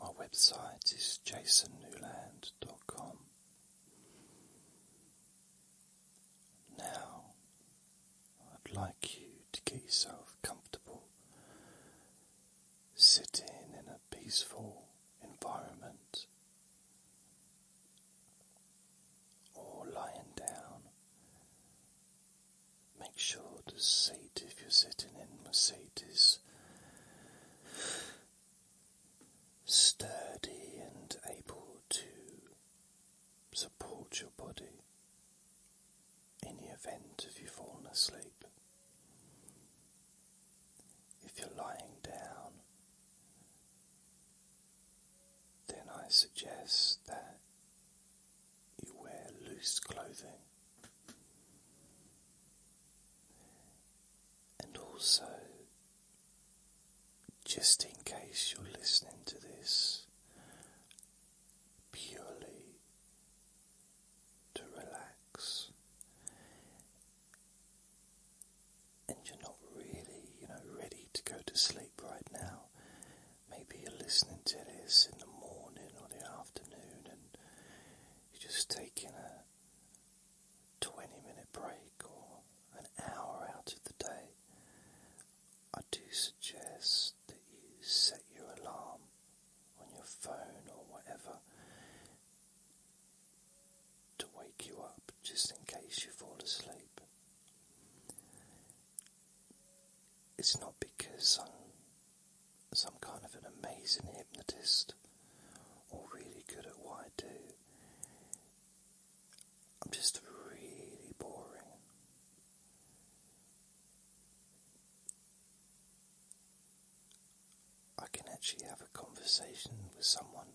My website is jasonnewland.com. Now, I'd like you to get yourself comfortable sitting in a peaceful environment or lying down. Make sure the seat, if you're sitting in the seat, is sturdy and able to support your body in the event of you falling asleep. If you're lying down, then I suggest that you wear loose clothing and also, just in case you're listening to this purely to relax and you're not really, you know, ready to go to sleep right now. Maybe you're listening to this in the morning or the afternoon and you're just taking a 20 minute break or an hour out of the day, I do suggest that you set your alarm on your phone or whatever to wake you up just in case you fall asleep. It's not because I'm some kind of an amazing hypnotist or really good at what I do. I'm just really boring. I can actually have a conversation with someone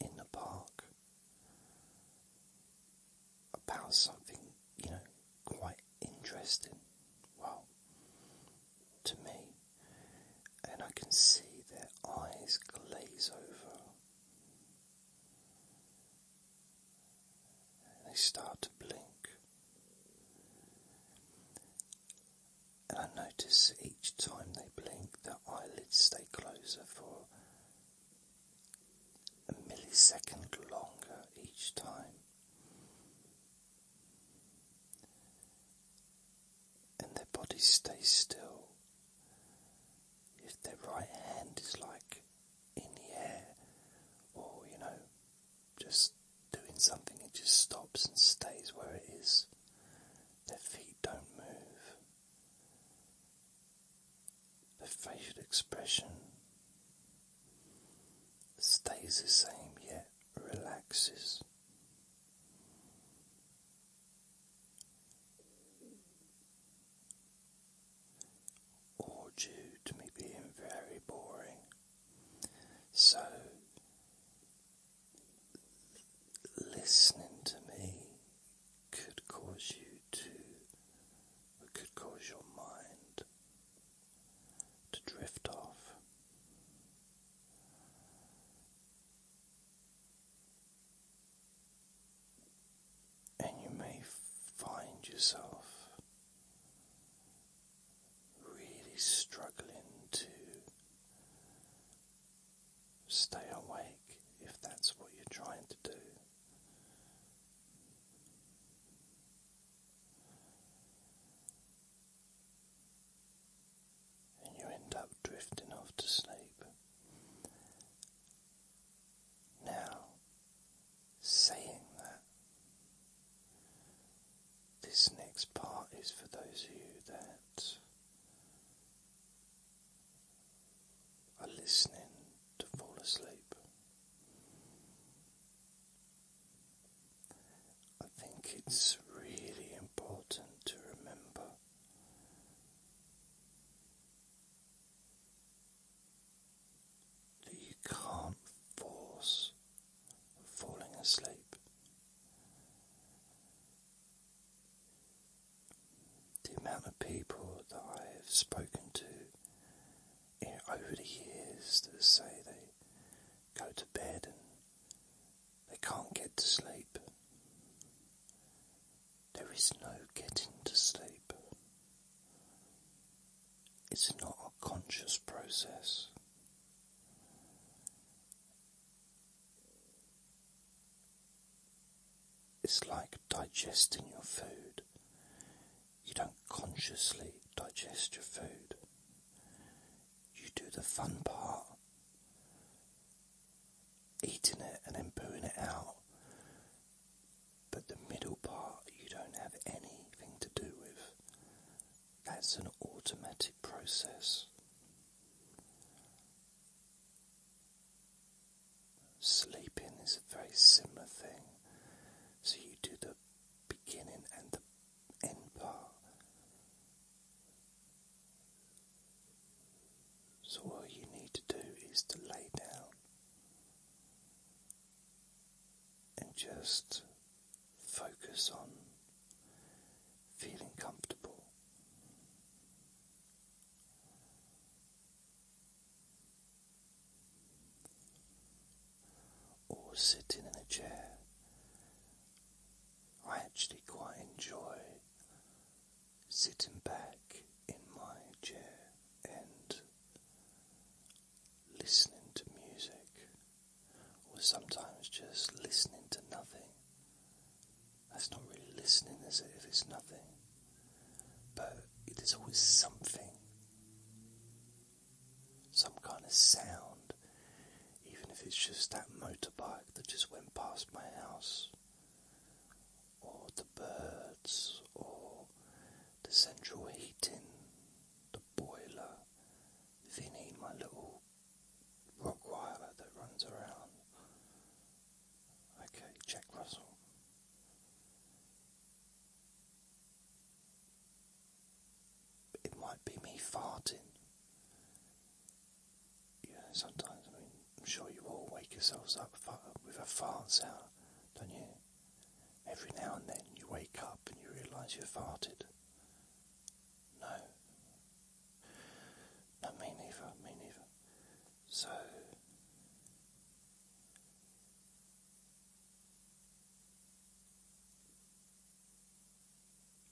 in the park about something, you know, quite interesting. Well, to me, and I can see their eyes glaze over. they start to blink. And I notice each time they blink, their eyelids stay closer for a millisecond longer each time and their body stays still. If their right hand is like in the air, or you know, just doing something, it just stops and stays where it is. Their feet don't move. Their facial expression stays the same yet relaxes or to me being very boring. So, listening to me could cause you to, could cause your mind to drift off. And you may find yourself really struggling to stay awake if that's what you're trying to do and you end up drifting off to sleep. Now, saying that, this next part is for those of you that are listening to fall asleep. I think it's really important to remember that you can't force falling asleep. The amount of people that I have spoken to eh, over the years that say they go to bed and they can't get to sleep. There is no getting to sleep. It's not a conscious process. It's like digesting your food. You don't consciously digest your food you do the fun part. Eating it and then pooing it out. But the middle part you don't have anything to do with. That's an automatic process. Sleeping is a very similar thing. So you do the beginning and the empire. So, all you need to do is to lay down and just focus on feeling comfortable. Or sitting in a chair I actually quite enjoy sitting back in my chair and listening to music, or sometimes just listening to nothing. That's not really listening, is it, if it's nothing? But it is always something some kind of sound, even if it's just that motorbike that just went past my house, or the birds, or the central heating, the boiler, Vinny, my little Rottweiler that runs around. Okay, Jack Russell it might be me farting. You sometimes, I mean, I'm sure you all wake yourselves up with a fart sound, don't you? Every now and then you wake up and you realise you you've farted. No. No, me neither, me neither. So.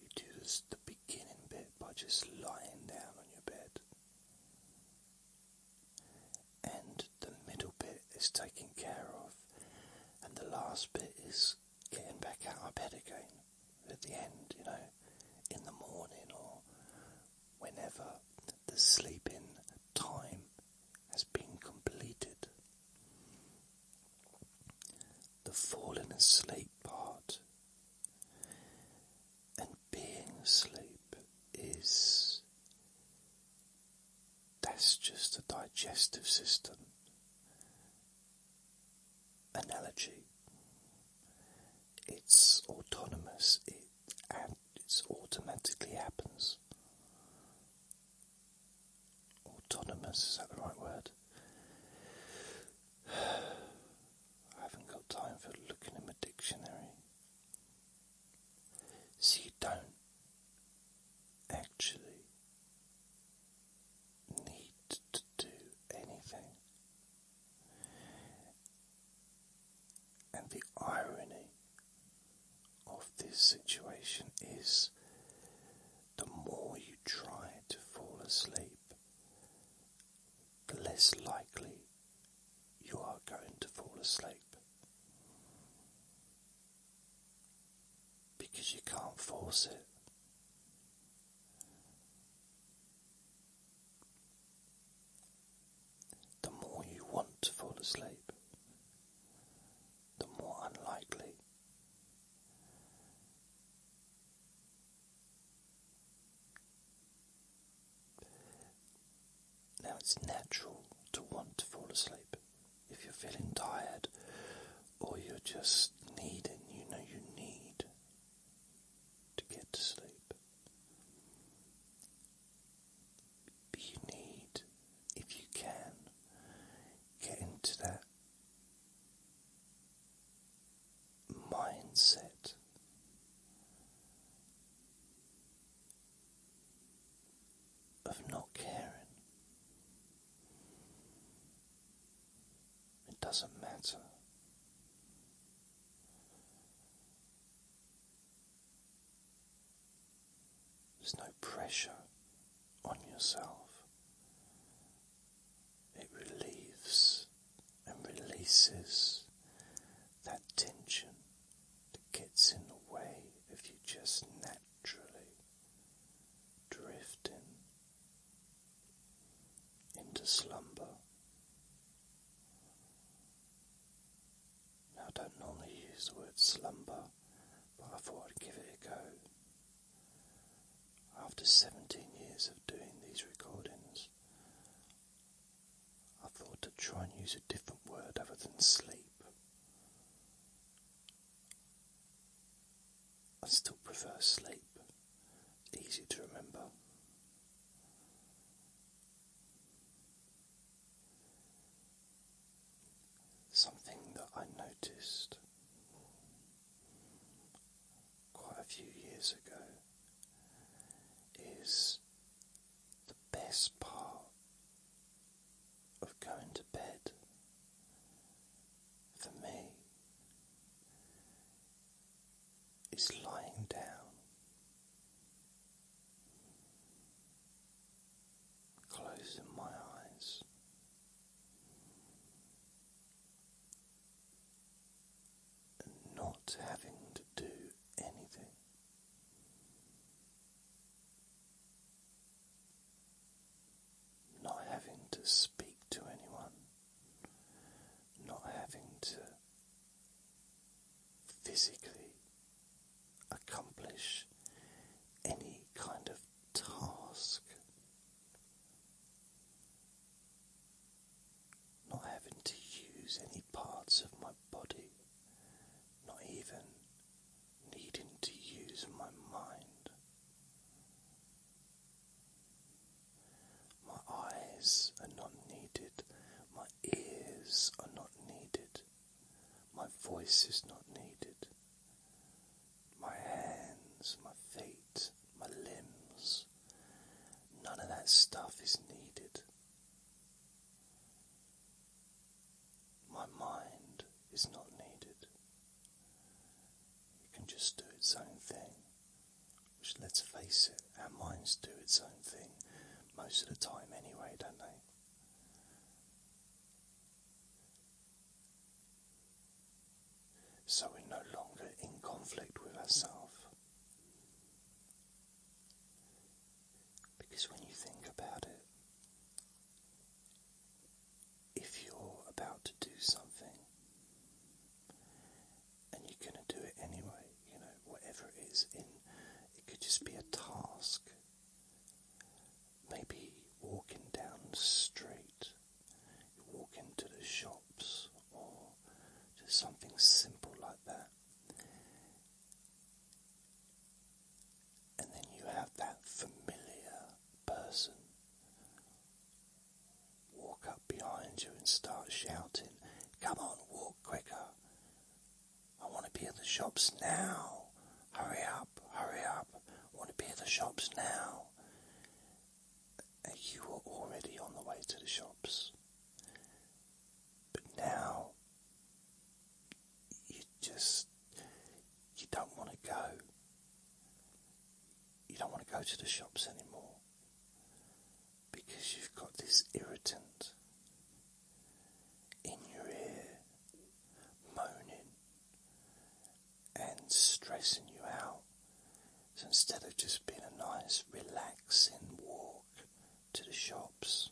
You do the beginning bit by just lying down on your bed. And the middle bit is taken care of, and the last bit is getting back out of bed again at the end, you know, in the morning or whenever the sleeping time has been completed the falling asleep part. And being asleep is that's just a digestive system analogy. It's autonomous, it and it automatically happens autonomous, is that the right word? I haven't got time for looking in my dictionary. So you don't actually need to do anything. And the irony of this situation is the more you try to fall asleep, the less likely you are going to fall asleep. Because you can't force it. The more you want to fall asleep, the more unlikely now it's natural to want to fall asleep if you're feeling tired or you're just needing, you know, you need to get to sleep. you need, if you can, get into that mindset. Of not caring. It doesn't matter. There's no pressure on yourself. It relieves and releases that tension that gets in the way of you just naturally drifting into slumber. Now, don't normally use the word slumber but I thought I'd give it a go. After 17 years of doing these recordings, I thought to try and use a different word other than sleep. I still prefer sleep, easy to remember. Something that I noticed quite a few years ago is the best part of going to bed for me is lying down closing my eyes not having to do anything. Not having to speak to anyone, not having to physically accomplish any kind of task. Not having to use any parts of my body, not even needing to use my mind. My eyes are not needed, my ears are not needed, my voice is not needed, my hands, my feet, my limbs. None of that stuff is needed. My mind is not needed. It can just do its own thing. Which, let's face it, our minds do its own thing most of the time anyway, don't they? so we're no longer in conflict with ourselves. Because when you think about it, if you're about to do something and you're going to do it anyway, you know, whatever it is, it could just be a task maybe walking down the street, you walk into the shops or just something simple like that. And then you have that familiar person walk up behind you and start shouting, Come on, walk quicker. I want to be in the shops now. Hurry up, hurry up, want to be at the shops now. you were already on the way to the shops. But now you just you don't want to go. You don't want to go to the shops anymore because you've got this irritant in your ear moaning and stressing you out. So instead of just being a nice, relaxing walk to the shops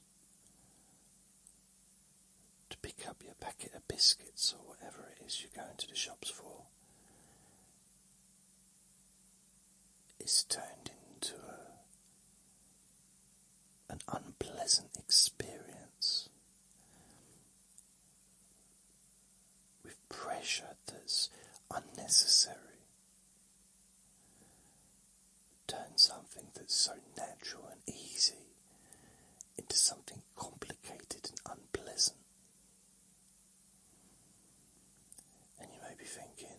to pick up your packet of biscuits or whatever it is you're going to the shops for, it's turned into an unpleasant experience with pressure that's unnecessary. Turn something that's so natural and easy into something complicated and unpleasant. And you may be thinking,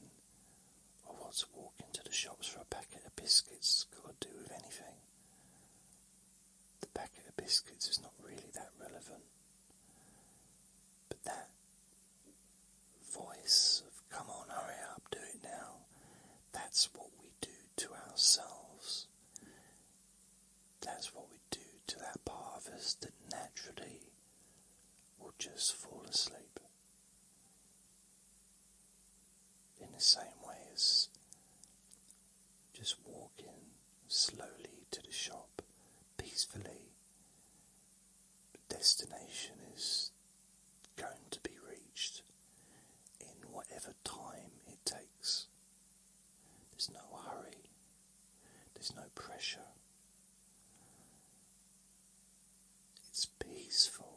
well, what's walking to the shops for a packet of biscuits got to do with anything? the packet of biscuits is not really that relevant. But that voice of come on, hurry up, do it now, that's what we do to ourselves. That's what we do to that part of us that naturally will just fall asleep. In the same way just walking slowly to the shop peacefully. The destination is going to be reached in whatever time it takes. There's no hurry, there's no pressure. It's peaceful.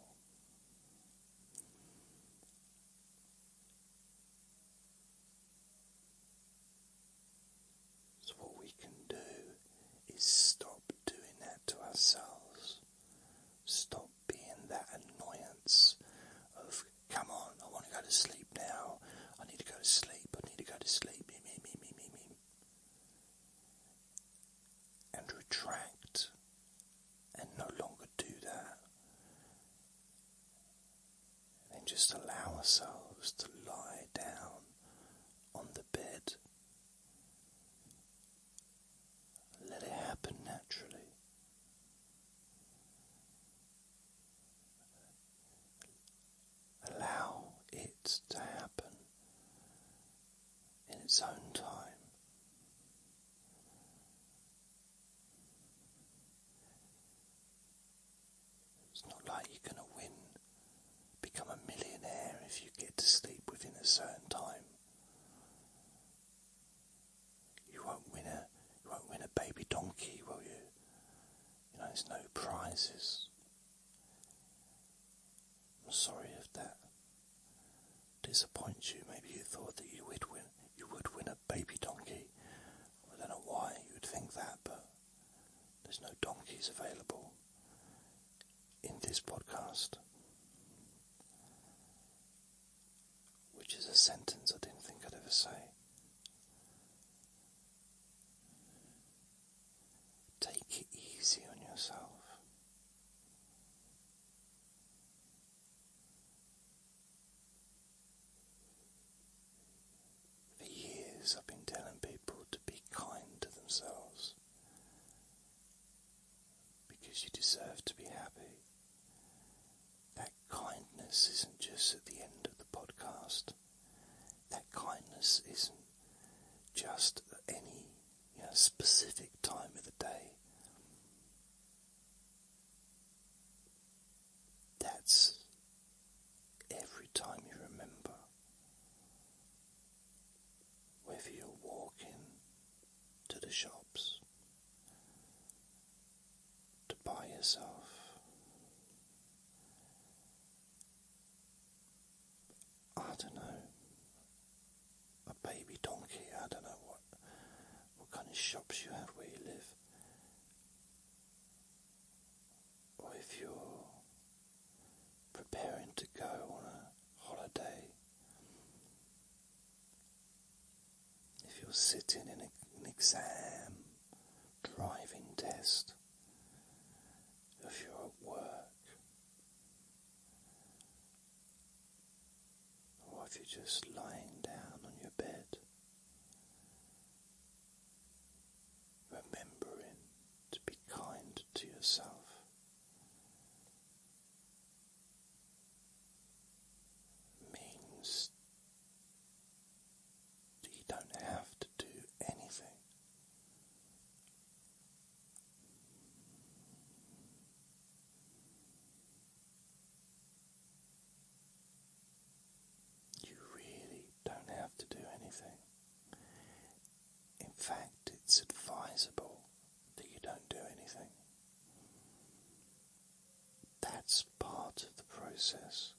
So, what we can do is stop doing that to ourselves. Stop being that annoyance of, come on, I want to go to sleep now. I need to go to sleep. I need to go to sleep. Me, me, me, me, me, me. And retract and no longer do that. And then just allow ourselves to lie down on the bed. Let it happen naturally. Allow it to happen in its own time. It's not like you're going to win, become a millionaire if you get to sleep within a certain time. You won't win a you won't win a baby donkey, will you? You know, there's no prizes. I'm sorry if that disappoints you. Maybe you thought that you would win you would win a baby donkey. I don't know why you would think that, but there's no donkeys available in this podcast. Which is a sentence I didn't think I'd ever say. Take it easy on yourself. For years, I've been telling people to be kind to themselves because you deserve to be happy. That kindness isn't just at the end of the podcast. That kindness isn't just at any specific time of the day. That's every time you remember. Whether you're walking to the shops to buy yourself I don't know a baby donkey, I don't know what what kind of shops you have where you live, or if you're preparing to go on a holiday, if you're sitting in an exam, driving test, if you're at work. Or if you're just lying down on your bed, remembering to be kind to yourself, means you don't have to do anything. You really don't have to do anything. In fact, it's advisable that you don't do anything. That's part of the process.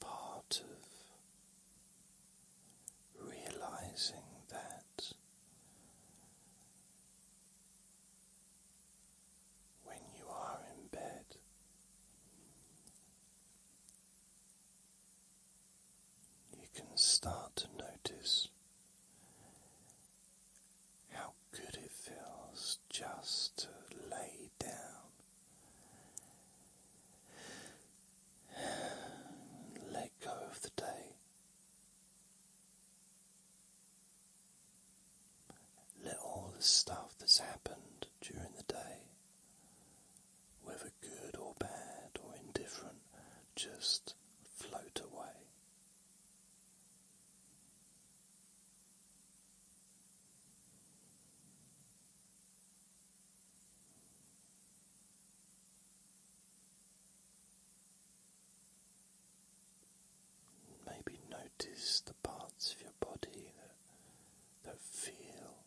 Part of realizing that when you are in bed, you can start to notice how good it feels just to lay down let go of the day. Let all the stuff that's happened during the day whether good or bad or indifferent, just float away. Maybe notice the parts of your body that, that feel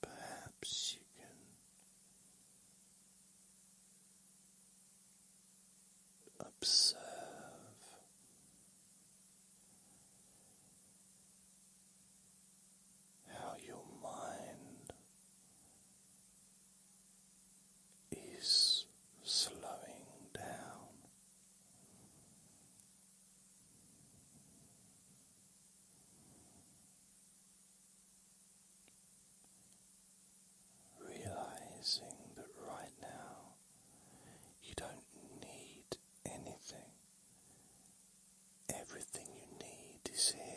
Perhaps you can observe how your mind is slowing down. Realizing that right now you don't need anything, everything you need is here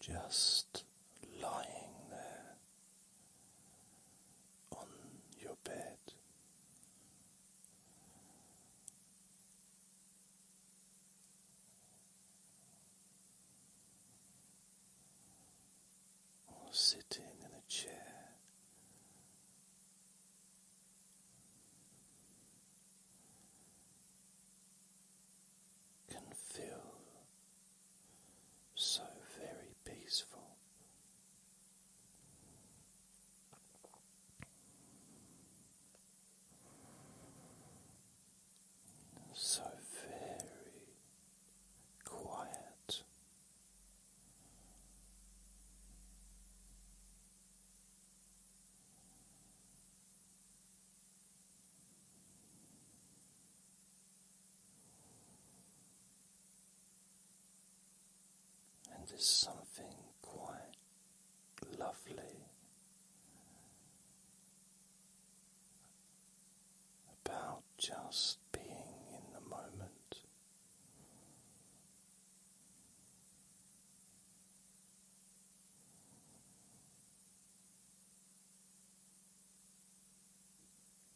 just lying there on your bed. Or sitting in a chair can feel so very peaceful. So very quiet, and there's something quite lovely about just being in the moment.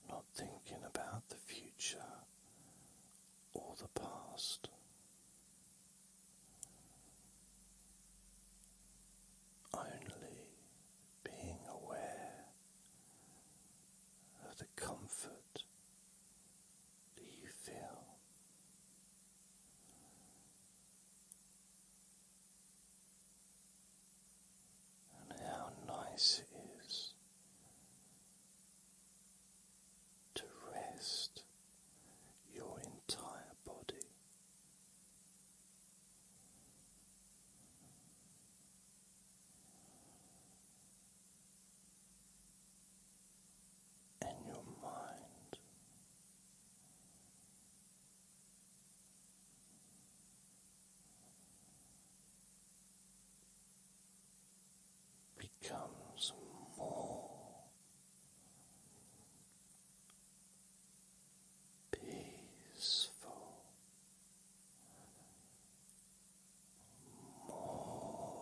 Not thinking about the future or the past. Only being aware of the comfort do you feel? And how nice it is to rest your entire body and your mind. Becomes more peaceful more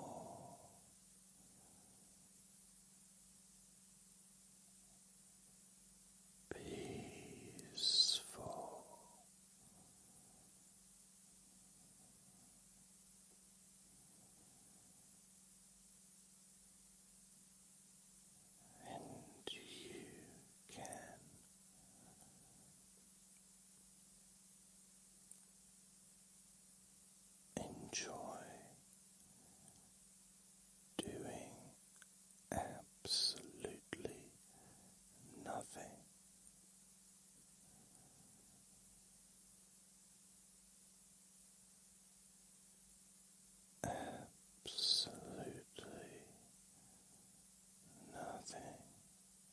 peaceful. And you can enjoy doing absolutely nothing. Absolutely nothing.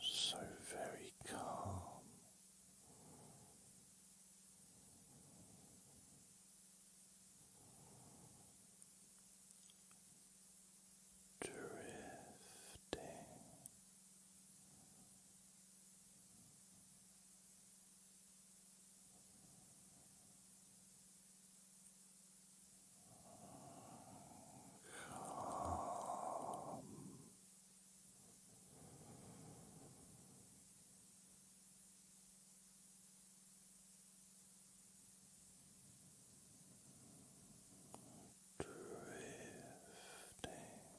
so very calm. Drifting Calm. Drifting. Drifting.